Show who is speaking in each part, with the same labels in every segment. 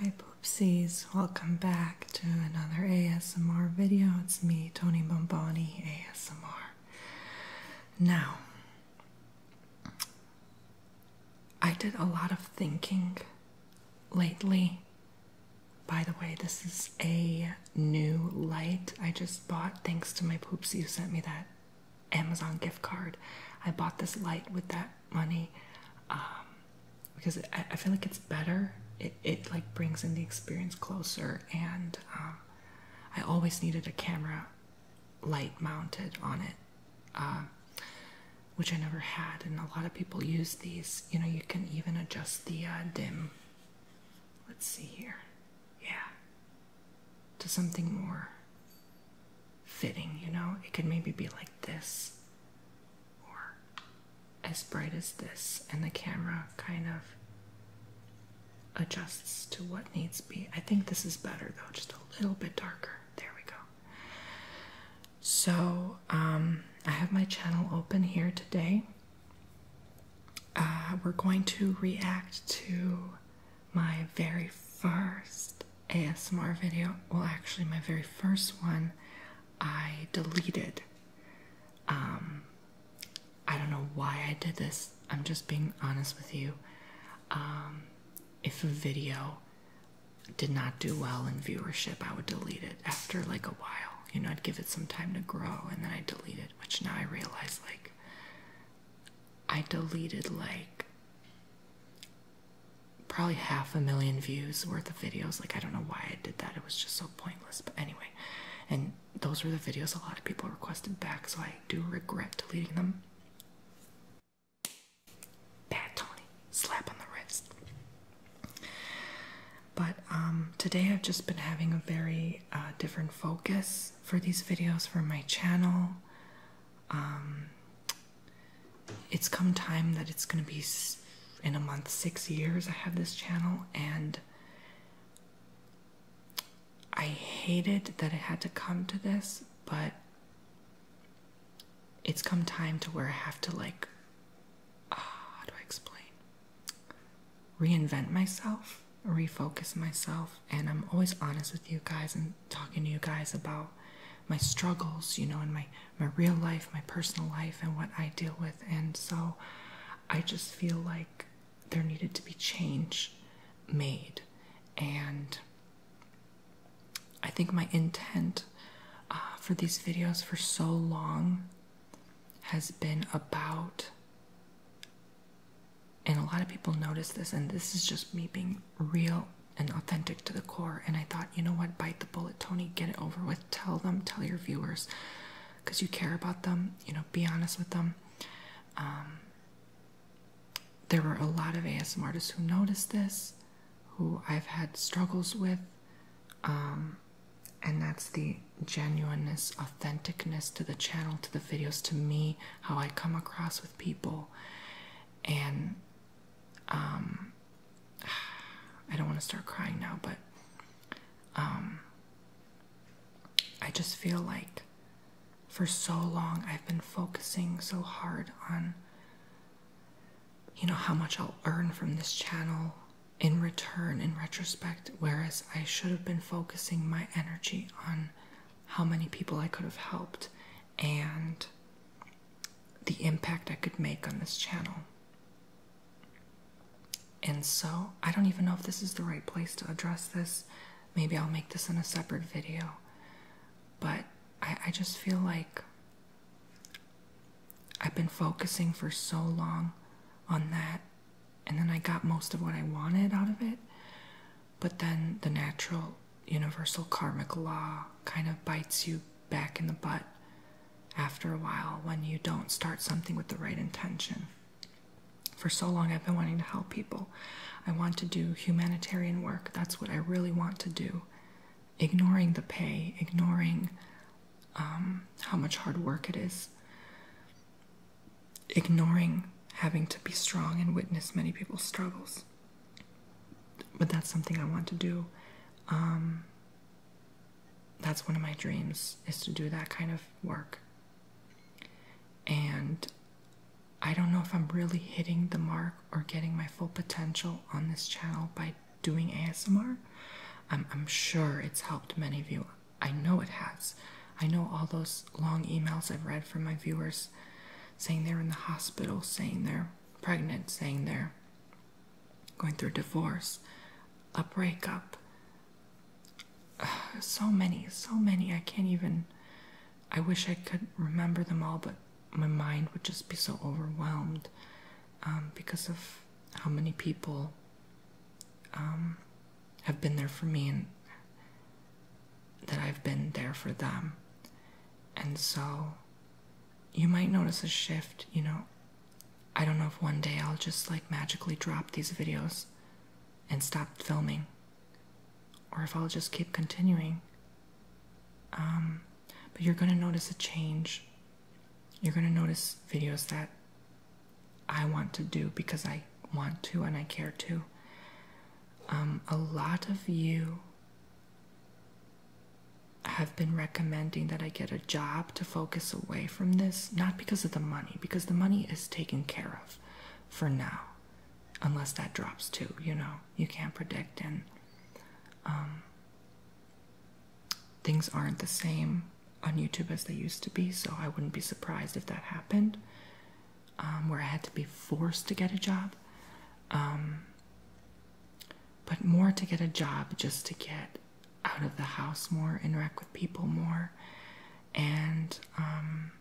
Speaker 1: Hi Poopsies, welcome back to another ASMR video. It's me, Tony Bomboni ASMR. Now, I did a lot of thinking lately. By the way, this is a new light I just bought thanks to my Poopsie who sent me that Amazon gift card. I bought this light with that money um, because I, feel like it's better. It, it like brings in the experience closer, and um, I always needed a camera light mounted on it, um, which I never had. And a lot of people use these. You know, you can even adjust the uh, dim. Let's see here. Yeah. To something more fitting, you know? It could maybe be like this or as bright as this, and the camera kind of adjusts to what needs to be. I think this is better though, just a little bit darker. There we go. So, um, I have my channel open here today. Uh, we're going to react to my very first ASMR video. Well, actually, my very first one I deleted. Um, I don't know why I did this. I'm just being honest with you. Um, if a video did not do well in viewership, I would delete it after like a while. You know, I'd give it some time to grow and then I delete it, which now I realize like I deleted like probably half a million views worth of videos. Like, I don't know why I did that, it was just so pointless. But anyway, and those were the videos a lot of people requested back, so I do regret deleting them. Bad Tony, slap on the wrist. But um, today I've just been having a very uh, different focus for these videos for my channel. Um, it's come time that it's going to be in a month six years I have this channel, and I hated that it had to come to this, but it's come time to where I have to, like, uh, how do I explain? Reinvent myself, refocus myself, and I'm always honest with you guys and talking to you guys about my struggles, you know, in my my real life, my personal life, and what I deal with. And so, I just feel like there needed to be change made, and I think my intent uh, for these videos for so long has been about. And a lot of people notice this, and this is just me being real and authentic to the core. And I thought, you know what? Bite the bullet, Tony. Get it over with. Tell them, tell your viewers, because you care about them. You know, be honest with them. Um, there were a lot of ASM artists who noticed this, who I've had struggles with. Um, and that's the genuineness, authenticness to the channel, to the videos, to me, how I come across with people. And um, I don't want to start crying now, but um, I just feel like for so long I've been focusing so hard on, you know, how much I'll earn from this channel in return, in retrospect, whereas I should have been focusing my energy on how many people I could have helped and the impact I could make on this channel. And so, I don't even know if this is the right place to address this. Maybe I'll make this in a separate video. But I, just feel like I've been focusing for so long on that, and then I got most of what I wanted out of it but then the natural universal karmic law kind of bites you back in the butt after a while when you don't start something with the right intention. For so long, I've been wanting to help people. I want to do humanitarian work. That's what I really want to do. Ignoring the pay, ignoring um, how much hard work it is, ignoring having to be strong and witness many people's struggles but that's something I want to do. Um, that's one of my dreams is to do that kind of work. And I don't know if I'm really hitting the mark or getting my full potential on this channel by doing ASMR. I'm sure it's helped many of you. I know it has. I know all those long emails I've read from my viewers saying they're in the hospital, saying they're pregnant, saying they're going through divorce, a breakup. so many, so many. I can't even. I wish I could remember them all, but my mind would just be so overwhelmed um, because of how many people um, have been there for me and that I've been there for them. And so you might notice a shift, you know. I don't know if one day I'll just like magically drop these videos and stop filming, or if I'll just keep continuing. Um, but you're gonna notice a change. You're gonna notice videos that I want to do because I want to and I care to. Um, a lot of you have been recommending that I get a job to focus away from this, not because of the money, because the money is taken care of for now, unless that drops too, you know, you can't predict, and um, things aren't the same on YouTube as they used to be, so I wouldn't be surprised if that happened. Um, where I had to be forced to get a job, um, but more to get a job just to get out of the house more, interact with people more, and um,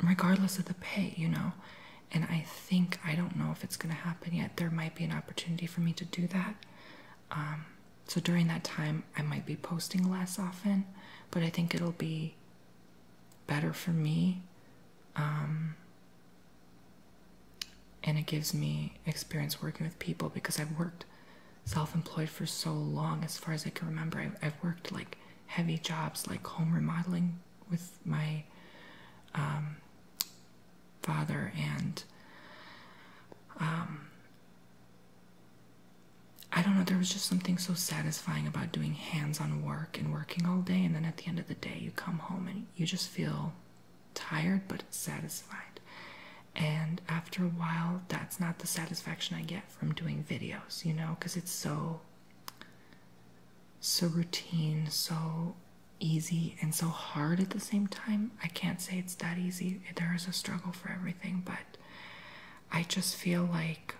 Speaker 1: regardless of the pay, you know. And I think, I don't know if it's going to happen yet, there might be an opportunity for me to do that. so during that time, I might be posting less often, but I think it'll be better for me. Um, and it gives me experience working with people because I've worked self employed for so long, as far as I can remember. I've, worked like heavy jobs, like home remodeling with my um, father and um, I don't know, there was just something so satisfying about doing hands on work and working all day, and then at the end of the day, you come home and you just feel tired but satisfied. And after a while, that's not the satisfaction I get from doing videos, you know, because it's so, so routine, so easy, and so hard at the same time. I can't say it's that easy, there is a struggle for everything, but I just feel like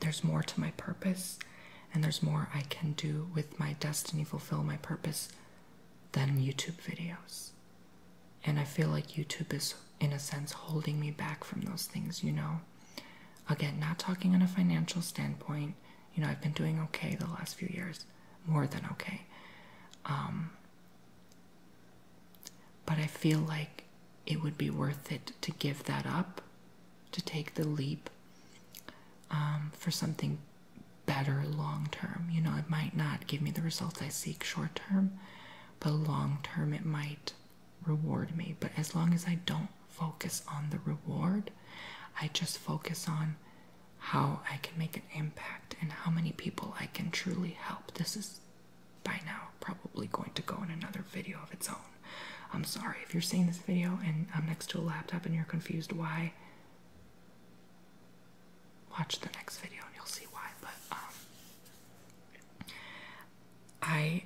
Speaker 1: there's more to my purpose and there's more I can do with my destiny, fulfill my purpose than YouTube videos. And I feel like YouTube is, in a sense, holding me back from those things, you know? Again, not talking on a financial standpoint. You know, I've been doing okay the last few years, more than okay. Um, but I feel like it would be worth it to give that up, to take the leap um, for something better long term. You know, it might not give me the results I seek short term, but long term it might reward me. But as long as I don't focus on the reward, I just focus on how I can make an impact and how many people I can truly help. This is by now probably going to go in another video of its own. I'm sorry if you're seeing this video and I'm next to a laptop and you're confused why. Watch the next video and you'll see why. But um, I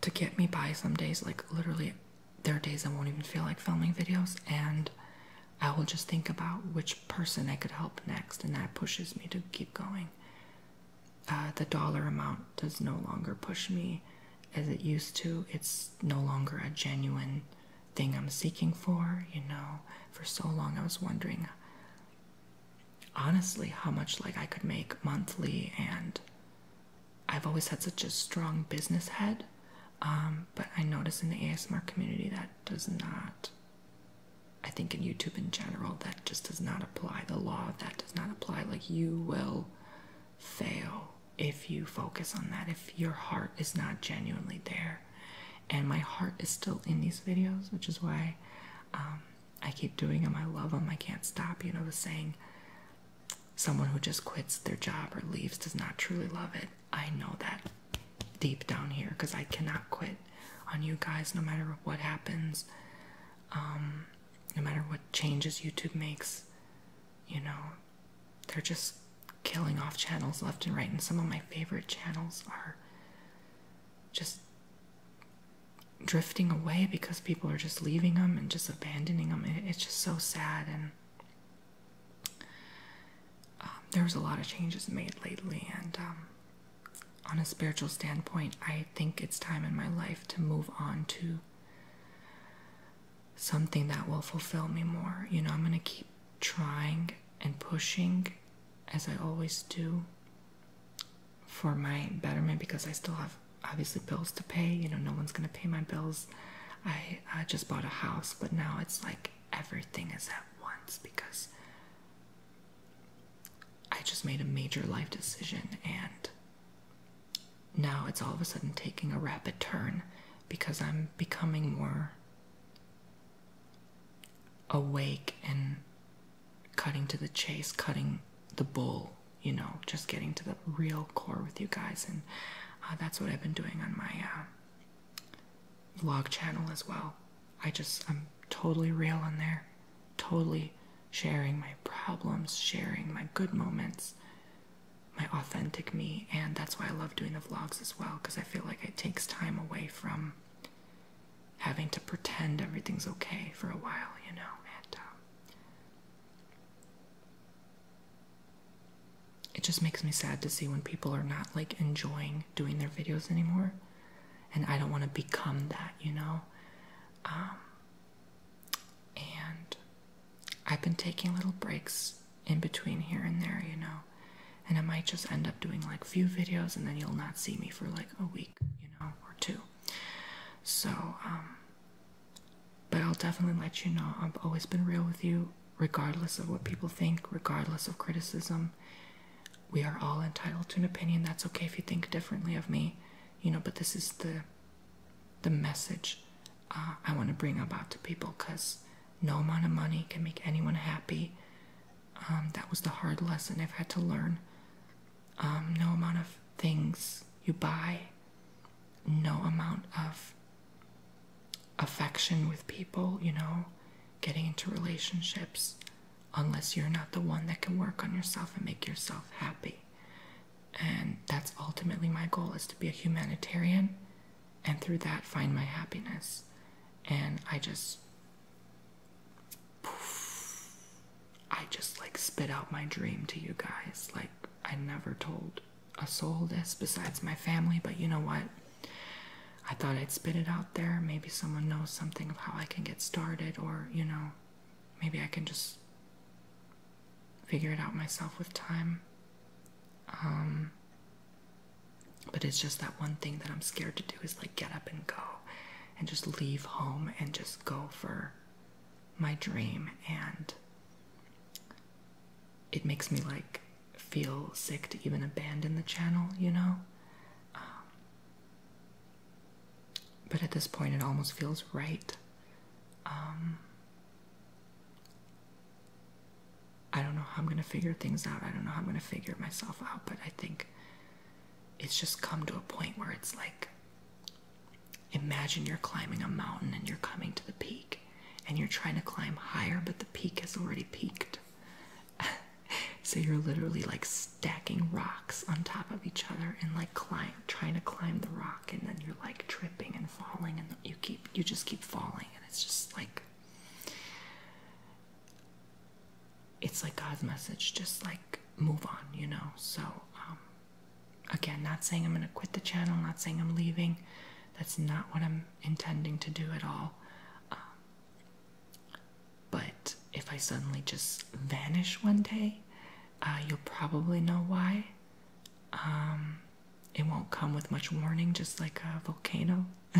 Speaker 1: to get me by some days, like literally, there are days I won't even feel like filming videos and. I will just think about which person I could help next, and that pushes me to keep going. Uh, the dollar amount does no longer push me as it used to. It's no longer a genuine thing I'm seeking for. You know, for so long I was wondering honestly how much like I could make monthly, and I've always had such a strong business head. Um, but I notice in the ASMR community that does not I think in YouTube in general, that just does not apply. The law that does not apply. Like, you will fail if you focus on that, if your heart is not genuinely there. And my heart is still in these videos, which is why um, I keep doing them. I love them. I can't stop. You know, the saying, someone who just quits their job or leaves does not truly love it. I know that deep down here because I cannot quit on you guys no matter what happens, um, no matter what changes YouTube makes. You know, they're just killing off channels left and right, and some of my favorite channels are just drifting away because people are just leaving them and just abandoning them. it's just so sad. And um, there was a lot of changes made lately, and um, on a spiritual standpoint, I think it's time in my life to move on to something that will fulfill me more. You know, I'm going to keep trying and pushing as I always do for my betterment because I still have obviously bills to pay. You know, no one's going to pay my bills. I, just bought a house, but now it's like everything is at once because I just made a major life decision, and now it's all of a sudden taking a rapid turn because I'm becoming more awake and cutting to the chase, cutting the bull, you know, just getting to the real core with you guys. And uh, that's what I've been doing on my uh, vlog channel as well. I just, I'm totally real in there, totally sharing my problems, sharing my good moments, my authentic me. And that's why I love doing the vlogs as well, because I feel like it takes time away from having to pretend everything's okay for a while, you know. And um, it just makes me sad to see when people are not like enjoying doing their videos anymore and I don't want to become that, you know. Um, and I've been taking little breaks in between here and there, you know, and I might just end up doing like few videos, and then you'll not see me for like a week, you know, or two. So, um, but I'll definitely let you know. I've always been real with you, regardless of what people think, regardless of criticism we are all entitled to an opinion. That's okay if you think differently of me, you know, but this is the the message uh, I want to bring about to people because no amount of money can make anyone happy. Um, that was the hard lesson I've had to learn. Um, no amount of things you buy, no amount of affection with people, you know, getting into relationships, unless you're not the one that can work on yourself and make yourself happy. And that's ultimately my goal is to be a humanitarian and through that find my happiness. And I just poof, I just like spit out my dream to you guys. Like I never told a soul this besides my family, but you know what? I thought I'd spit it out there. Maybe someone knows something of how I can get started, or, you know, maybe I can just figure it out myself with time. Um, but it's just that one thing that I'm scared to do is like get up and go and just leave home and just go for my dream. And it makes me like feel sick to even abandon the channel, you know? Um, but at this point, it almost feels right. Um, I don't know how I'm going to figure things out. I don't know how I'm going to figure myself out, but I think it's just come to a point where it's like imagine you're climbing a mountain and you're coming to the peak and you're trying to climb higher, but the peak has already peaked. so you're literally like stacking rocks on top of each other and like climb trying to climb the rock and then you're like tripping and falling and you keep you just keep falling and it's just like it's like God's message just like move on you know so um, again not saying I'm gonna quit the channel not saying I'm leaving that's not what I'm intending to do at all um, but if I suddenly just vanish one day, uh, you'll probably know why. Um, it won't come with much warning, just like a volcano.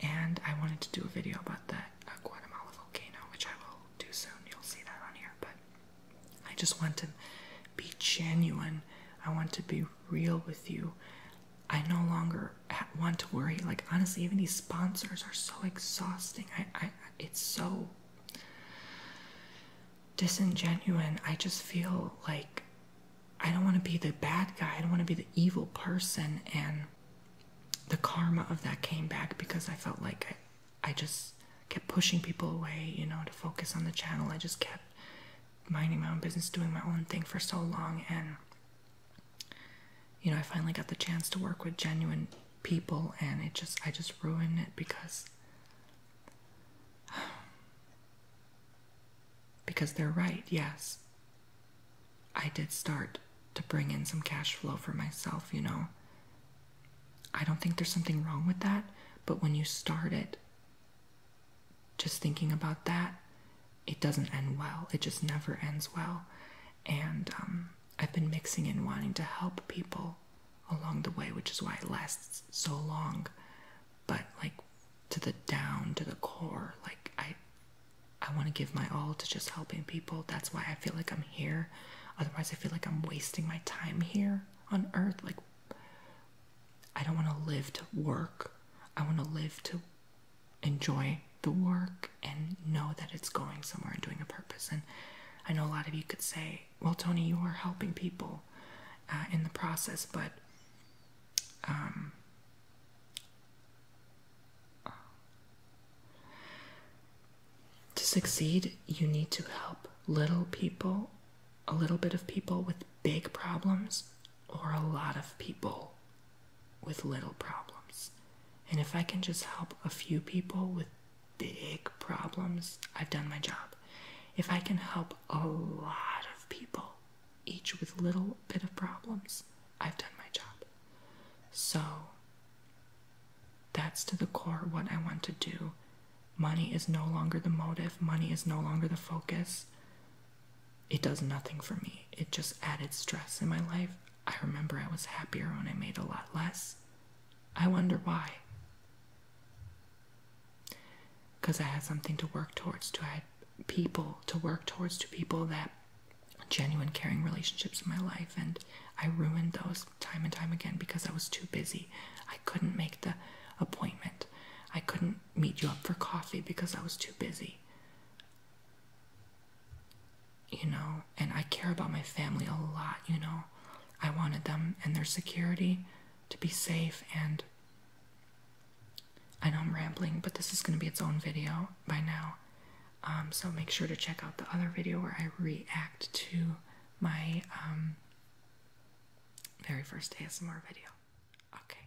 Speaker 1: and I wanted to do a video about that Guatemala volcano, which I will do soon. You'll see that on here. But I just want to be genuine. I want to be real with you. I no longer want to worry. Like honestly, even these sponsors are so exhausting. I, I, it's so disingenuine. I just feel like I don't want to be the bad guy. I don't want to be the evil person. And the karma of that came back because I felt like I, I just kept pushing people away. You know, to focus on the channel. I just kept minding my own business, doing my own thing for so long, and you know, I finally got the chance to work with genuine people, and it just, I just ruined it because. Because they're right, yes. I did start to bring in some cash flow for myself, you know. I don't think there's something wrong with that, but when you start it, just thinking about that it doesn't end well. It just never ends well. And um, I've been mixing in wanting to help people along the way, which is why it lasts so long. But like to the down, to the core, like I, I want to give my all to just helping people. That's why I feel like I'm here. Otherwise, I feel like I'm wasting my time here on Earth. Like I don't want to live to work. I want to live to enjoy the work and know that it's going somewhere and doing a purpose. And I know a lot of you could say, well, Tony, you are helping people uh, in the process, but um, to succeed, you need to help little people, a little bit of people with big problems, or a lot of people with little problems. And if I can just help a few people with big problems, I've done my job. If I can help a lot of people, each with little bit of problems, I've done my job. So that's to the core what I want to do. Money is no longer the motive, money is no longer the focus it does nothing for me. It just added stress in my life. I remember I was happier when I made a lot less. I wonder why. Because I had something to work towards, to I people to work towards, to people that genuine caring relationships in my life, and I ruined those time and time again because I was too busy. I couldn't make the appointment. I couldn't meet you up for coffee because I was too busy you know, and I care about my family a lot, you know. I wanted them and their security to be safe, and I know I'm rambling, but this is going to be its own video by now. Um, so make sure to check out the other video where I react to my um, very first ASMR video. Okay.